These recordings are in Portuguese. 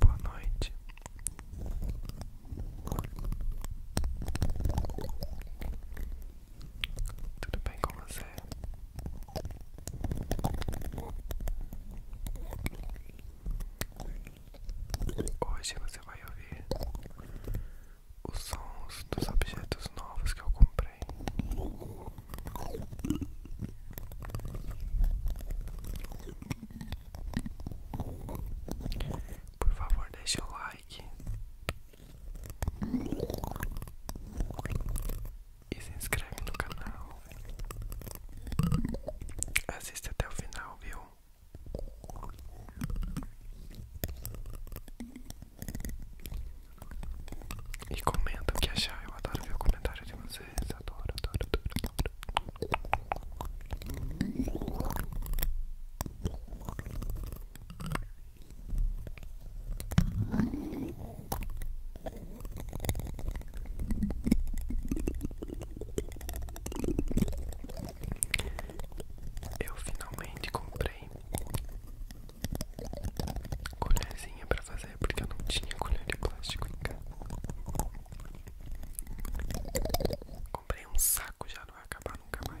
Boa noite. Tudo bem com você? Hoje você vai ouvir os sons dos objetos novos que eu comprei. Por favor, deixe o like e se inscreve no canal. assiste até o final, viu? E comenta o que achar, eu adoro ver o comentário de vocês, adoro, adoro, adoro, adoro. Eu finalmente comprei colherzinha pra fazer porque eu não tinha colher de plástico em casa. Comprei um saco já, não vai acabar nunca mais.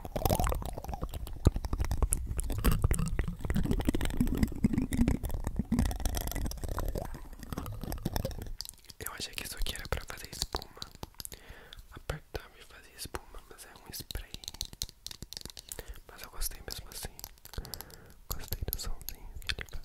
Eu achei que isso aqui era pra fazer espuma. Apertar e fazer espuma, mas é um spray. Mas eu gostei mesmo assim. Gostei do somzinho que ele faz.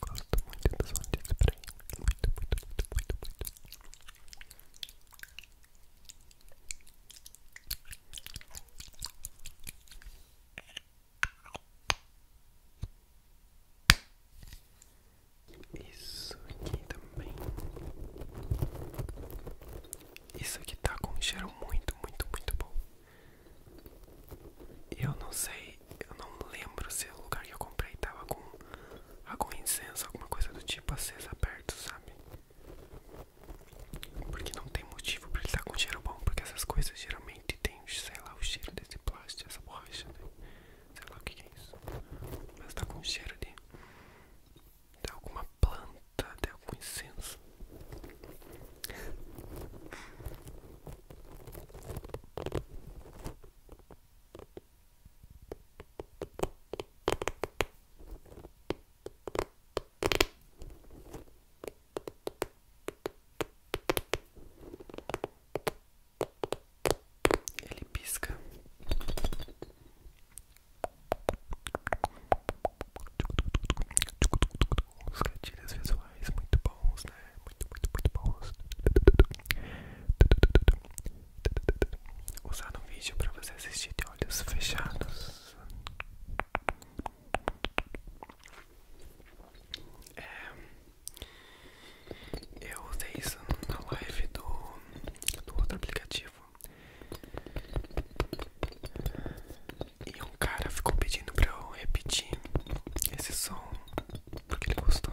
Gosto muito do som de spray. Muito, muito, muito, muito, muito. Isso aqui também isso aqui tá com cheiro muito, muito, muito bom. Eu não sei, eu não lembro se o lugar que eu comprei tava com algum incenso, alguma coisa do tipo acesa perto, sabe? Porque não tem motivo pra ele estar tá com cheiro bom, porque essas coisas geralmente têm sei lá, o cheiro desse plástico, essa borracha, né? Sei lá o que é isso. Mas tá com cheiro de de alguma planta, de algum incenso. Ele pisca os gatilhos visuais muito bons, né? Muito, muito, muito bons. Usar um vídeo pra você assistir de olhos fechados. É, eu usei isso na live do, do outro aplicativo e um cara ficou pedindo pra eu repetir esse som porque ele gostou.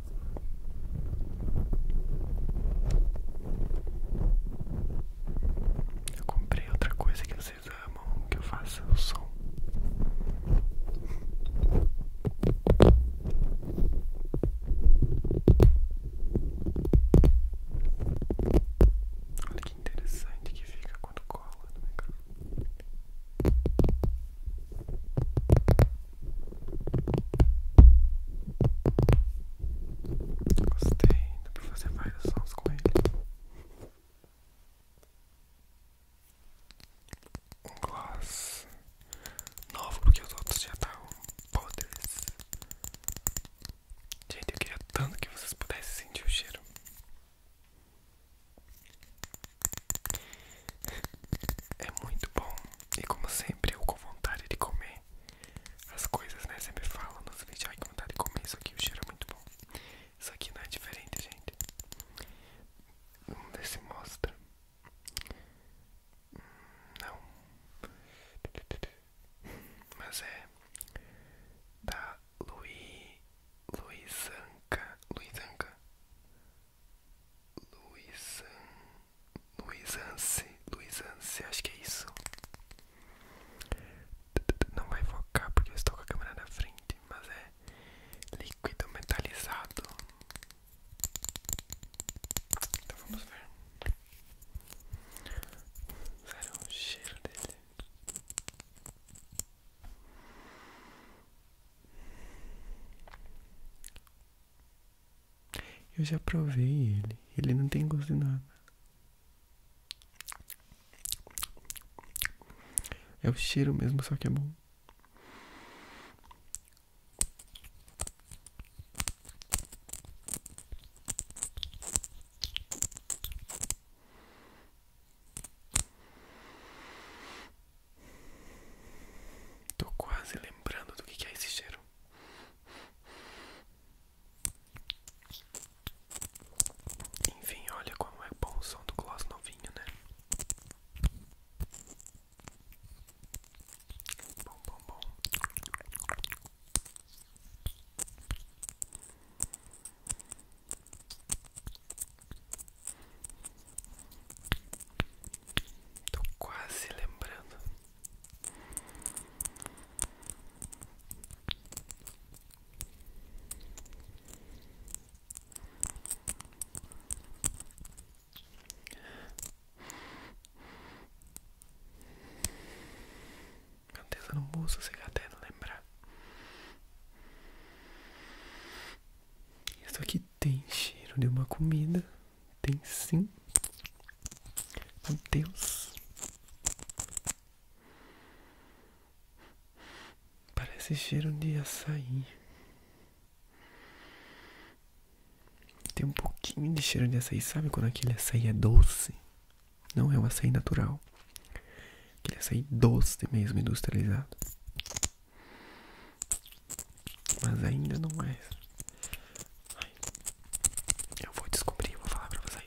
Eu comprei outra coisa que vocês amam que eu faça o som. Olha que interessante que fica quando cola no microfone. Gostei, dá pra fazer vários sons com ele. Um gloss novo, porque os outros já estavam podres. Gente, eu queria tanto que vocês pudessem sentir o cheiro. É muito bom. E como sempre, eu com vontade de comer as coisas, né? Sempre falo nos vídeos, ai, com vontade de comer isso aqui, o cheiro é muito bom. Isso aqui não é diferente, gente. Vamos ver se mostra. Não. Mas é da Luiz Luizanca Luizanca Luizanca Luiz Anse, Luiz Anse, acho que é isso. Não vai focar porque eu estou com a câmera na frente, mas é líquido metalizado. Então vamos ver. Sério, o cheiro dele. Eu já provei ele. Ele não tem gosto de nada. É o cheiro mesmo, só que é bom. Tô quase lembrando do que é esse cheiro. Enfim, olha como é bom o som do gloss novinho, né? Bom, bom, bom. Estou quase lembrando. Canteza no eu não vou lembrar. Isso aqui tem cheiro de uma comida. Tem sim. Meu Deus. Parece cheiro de açaí. Tem um pouquinho de cheiro de açaí. Sabe quando aquele açaí é doce? Não é um açaí natural. Aquele açaí doce mesmo, industrializado. Mas ainda não é. Ai, eu vou descobrir vou falar pra vocês.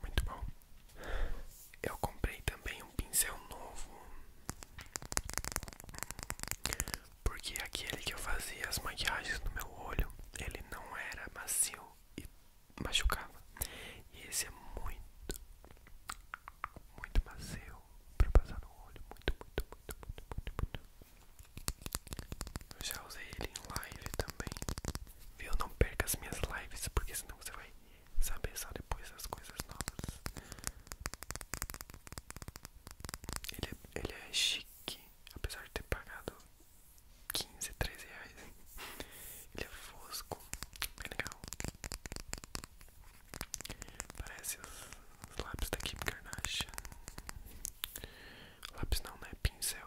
Muito bom. Eu comprei também um pincel novo. Porque aquele que eu fazia as maquiagens no meu olho, ele não era macio e machucava. E esse é muito, muito macio para passar no olho. Muito, muito, muito, muito, muito, muito. Eu já usei ele em live também. Viu? Não perca as minhas lives, porque senão você vai saber só depois as coisas novas. Ele, é, ele é chique, apesar de ter pagado 15, 13 reais. Ele é fosco, bem legal. Parece os, os lápis da Kim Kardashian. Lápis não, né? Pincel.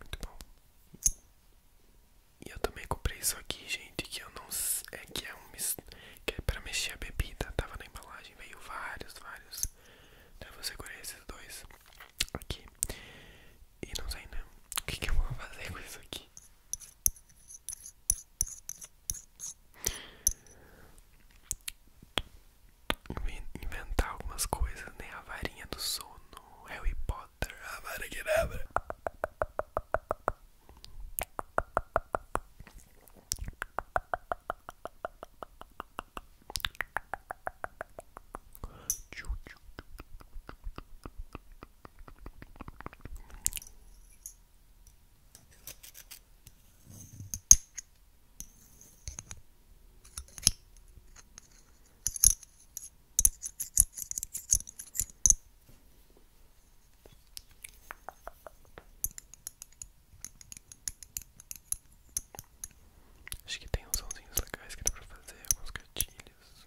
Muito bom. E eu também comprei isso aqui, gente, que eu não é que é um que é para mexer a bebida, tava na embalagem, veio vários, vários. Então eu segurei esses dois aqui. E não sei né o que eu vou fazer com isso aqui. Inventar algumas coisas, nem né? A varinha do sono, Harry Potter, a vara que Acho que tem uns sonzinhos legais que dá para fazer, alguns gatilhos.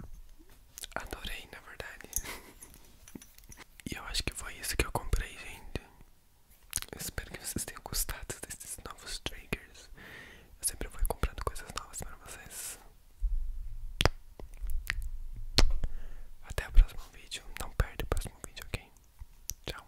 Adorei, na verdade. e eu acho que foi isso que eu comprei, gente. Eu espero que vocês tenham gostado desses novos triggers. Eu sempre vou comprando coisas novas para vocês. Até o próximo vídeo. Não perde o próximo vídeo, ok? Tchau.